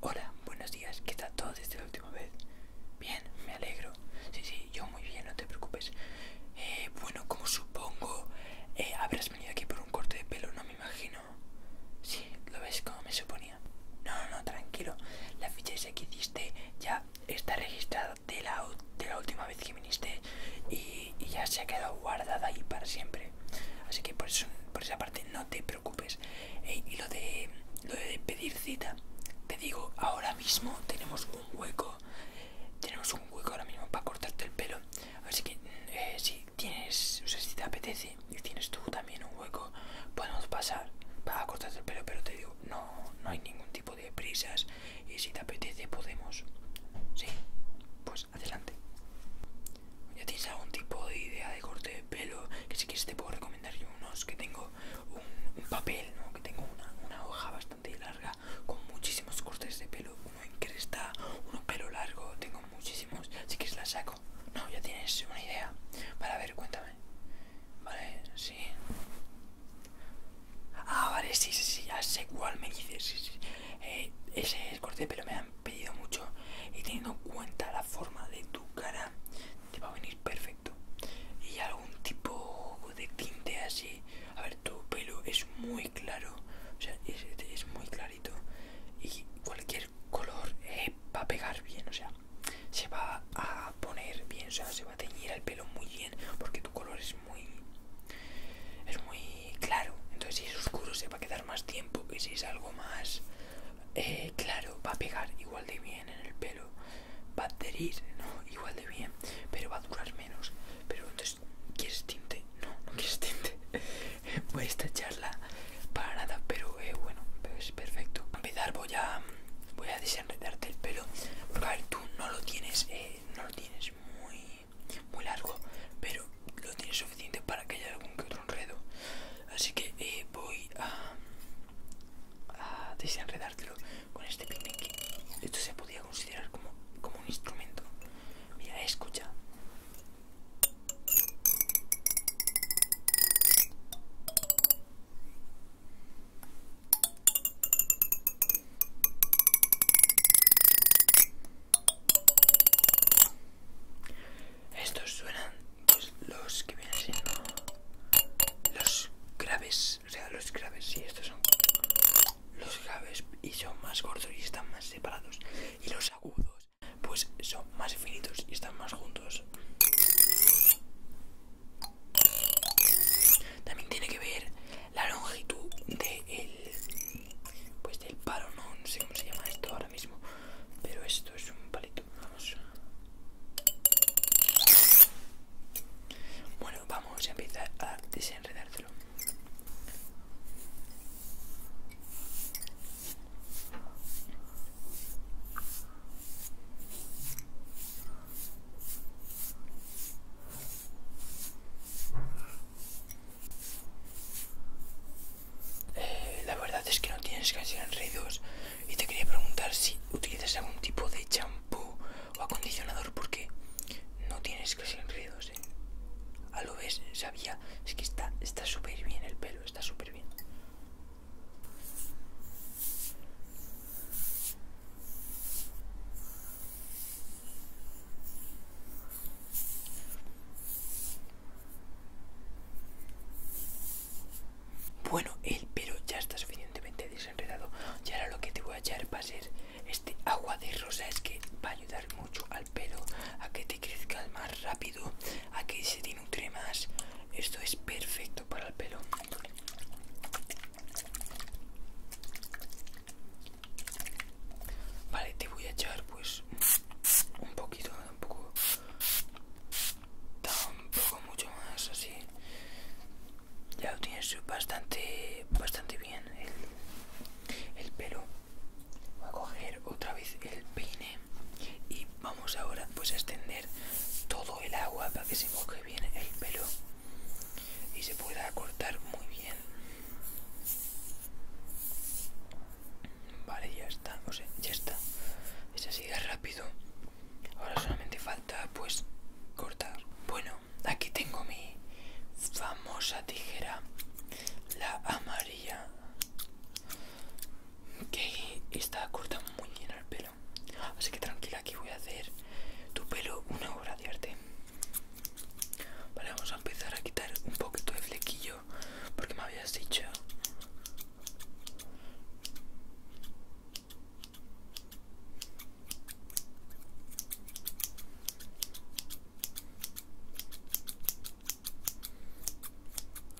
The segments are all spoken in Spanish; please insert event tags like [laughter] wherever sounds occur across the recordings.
Hola, buenos días, ¿qué tal todo desde la última vez? Bien, me alegro. Sí, sí, yo muy bien, no te preocupes. Eh, bueno, como supongo, eh, habrás venido aquí por un corte de pelo, no me imagino. Sí, lo ves como me suponía. No, no, tranquilo. La ficha esa que hiciste ya está registrada de la, última vez que viniste y, ya se ha quedado guardada ahí para siempre. Así que por esa parte no te preocupes. Eh, y lo de, lo de pedir cita, te digo, ahora mismo tenemos un hueco, tenemos un hueco ahora mismo para cortarte el pelo, así que mm, eh, si tienes, o sea, si te apetece y tienes tú también un hueco, podemos pasar para cortarte el pelo, pero te digo, no, no hay ningún tipo de prisas y si te apetece podemos, sí, pues adelante. ¿Ya tienes algún tipo de idea de corte de pelo? Que si quieres te puedo recomendar yo unos que tengo un, papel, ¿no? Que tengo una, hoja bastante larga con muchísimos cortes de pelo. Uno en cresta, uno pelo largo, tengo muchísimos. Si quieres la saco. No, ya tienes una idea. para ver, cuéntame. Vale, sí. Ah, vale, sí, sí, sí, ya sé cuál me dices. Eh, ese es corte de pelo me pedido mucho y teniendo en cuenta la forma de tu cara te va a venir perfecto y algún tipo de tinte así a ver tu pelo es muy claro o sea es, muy clarito y cualquier color eh, va a pegar bien o sea se va a poner bien o sea se va a teñir el pelo muy bien porque tu color es muy es muy claro entonces si es oscuro se va a quedar más tiempo que si es algo más eh, claro, va a pegar igual de bien en el pelo, va a adherir, ¿no? Igual de bien, pero va a durar menos. Pero entonces, ¿quieres tinte? No, no quieres tinte. [laughs] Voy a esta charla para nada, pero eh, bueno, es pues perfecto. A empezar voy a, voy a desenredarte el pelo, porque a ver, tú no lo tienes, eh, no lo tienes muy, muy largo, pero lo tiene suficiente para que haya algún que otro enredo. Así que eh, voy a, desenredártelo con este picnic. Esto se podía considerar como, como un instrumento. Mira, escucha. Estos suenan pues los que vienen siendo los graves, o sea, los graves, sí, estos son los graves y son más cortos y están más separados. Y los agudos, pues son más finitos y están más juntos. También tiene que ver la longitud de del pues del palo, no, sé cómo se llama esto ahora mismo, pero esto es un palito. Vamos. Bueno, vamos a empezar a desenredártelo. Eh, la verdad es que no tienes casi enredos y te quería preguntar si utilizas algún tipo de champú o acondicionador porque no tienes casi enredos. ruidos. ¿eh? A lo ves, sabía, es que está súper bien el pelo, está súper bien. Bueno, el pelo ya está suficientemente desenredado. Y ahora lo que te voy a echar va a ser este agua de rosa Es que va a ayudar mucho al pelo a que te crezca más rápido, a que se te nutre más. Esto es perfecto para el pelo. Vale, te voy a echar pues un poquito, tampoco, tampoco mucho más, así. Ya lo tienes bastante, bastante bien el, el pelo. Voy a coger otra vez el peine y vamos ahora pues a extender todo el agua para que se moje bien el pelo y se pueda cortar muy bien Vale, ya está, o sea, ya está. se sigue rápido. Ahora solamente falta, pues, cortar. Bueno, aquí tengo mi famosa tijera, la amarilla, que está corta muy bien el pelo. Así que tranquila, aquí voy a hacer tu pelo una obra de arte. Vale, vamos a empezar a quitar un poquito de flequillo porque me habías dicho.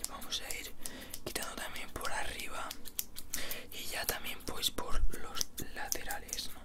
Vamos a ir quitando también por arriba y ya también pues por los laterales, ¿no?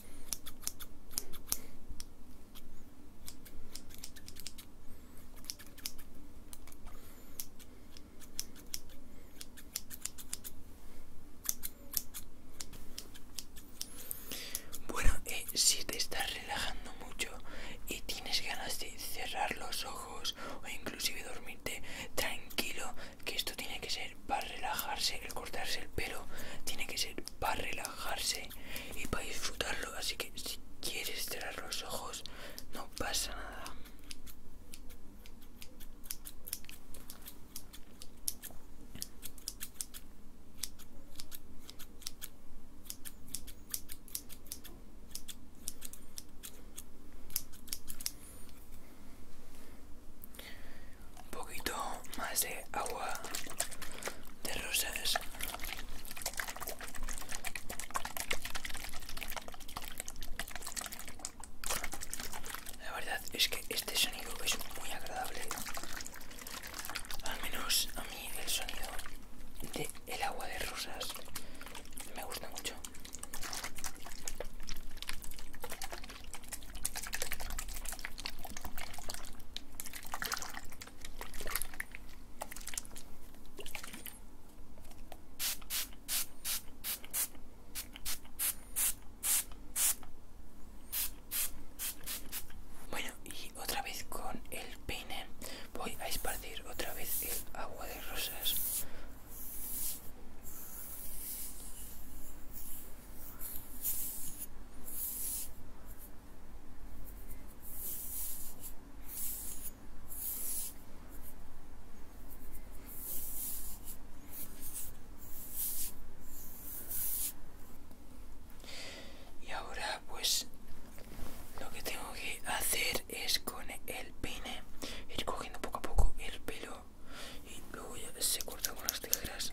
Bueno, eh, si te estás relajando mucho y tienes ganas de cerrar los ojos o inclusive dormirte tranquilo, que esto tiene que ser para relajarse, el cortarse el pelo tiene que ser para relajarse y para disfrutarlo. Así que si quieres cerrar los ojos, no pasa nada un poquito más de agua de rosas la verdad es que este sonido es muy agradable al menos a mí el sonido de el agua de rosas me gusta mucho bueno, y otra vez con el peine voy a esparcir otra vez el agua de rosas. Y ahora pues lo que tengo que hacer es con el pine, ir cogiendo poco a poco el pelo y luego ya se corta con las tijeras.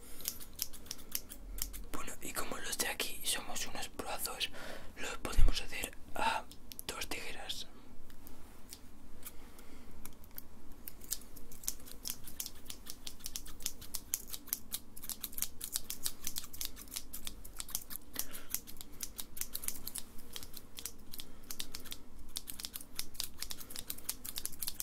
Bueno, y como los de aquí somos unos brazos, los podemos hacer a dos tijeras.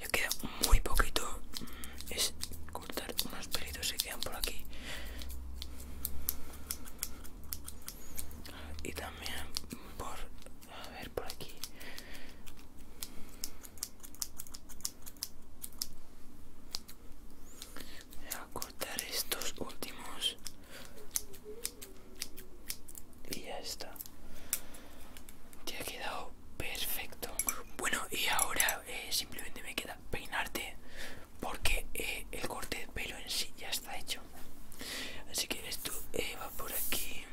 Ya queda muy poquito. Mm, es cortar unos pelitos que quedan por aquí. Y también por... A ver, por aquí. Voy a cortar estos últimos. Y ya está. ya ha quedado Perfecto. Bueno, y ahora simplemente me queda peinarte porque el corte de pelo en sí ya está hecho. Así que esto va por aquí.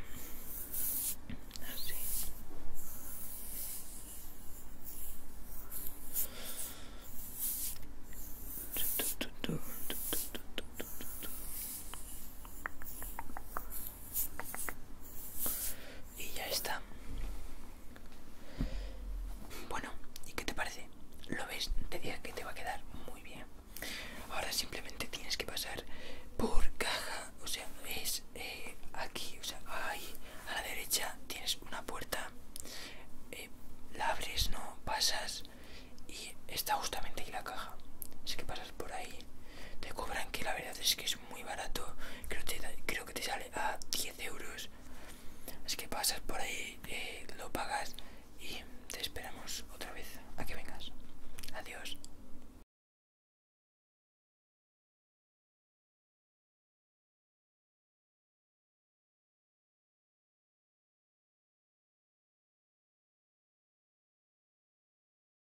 Y ya está. Bueno, ¿y qué te parece? Lo ves, te diría que te va a quedar muy bien. Ahora simplemente tienes que pasar por caja, o sea, es eh, aquí, o sea, ahí a la derecha tienes una puerta, eh, la abres, no pasas y está justamente ahí la caja. Así que pasas por ahí, te cobran que la verdad es que es muy barato creo, que te sale a 10 euros así que pasas por ahí eh, lo pagas y te esperamos otra vez a que vengas adiós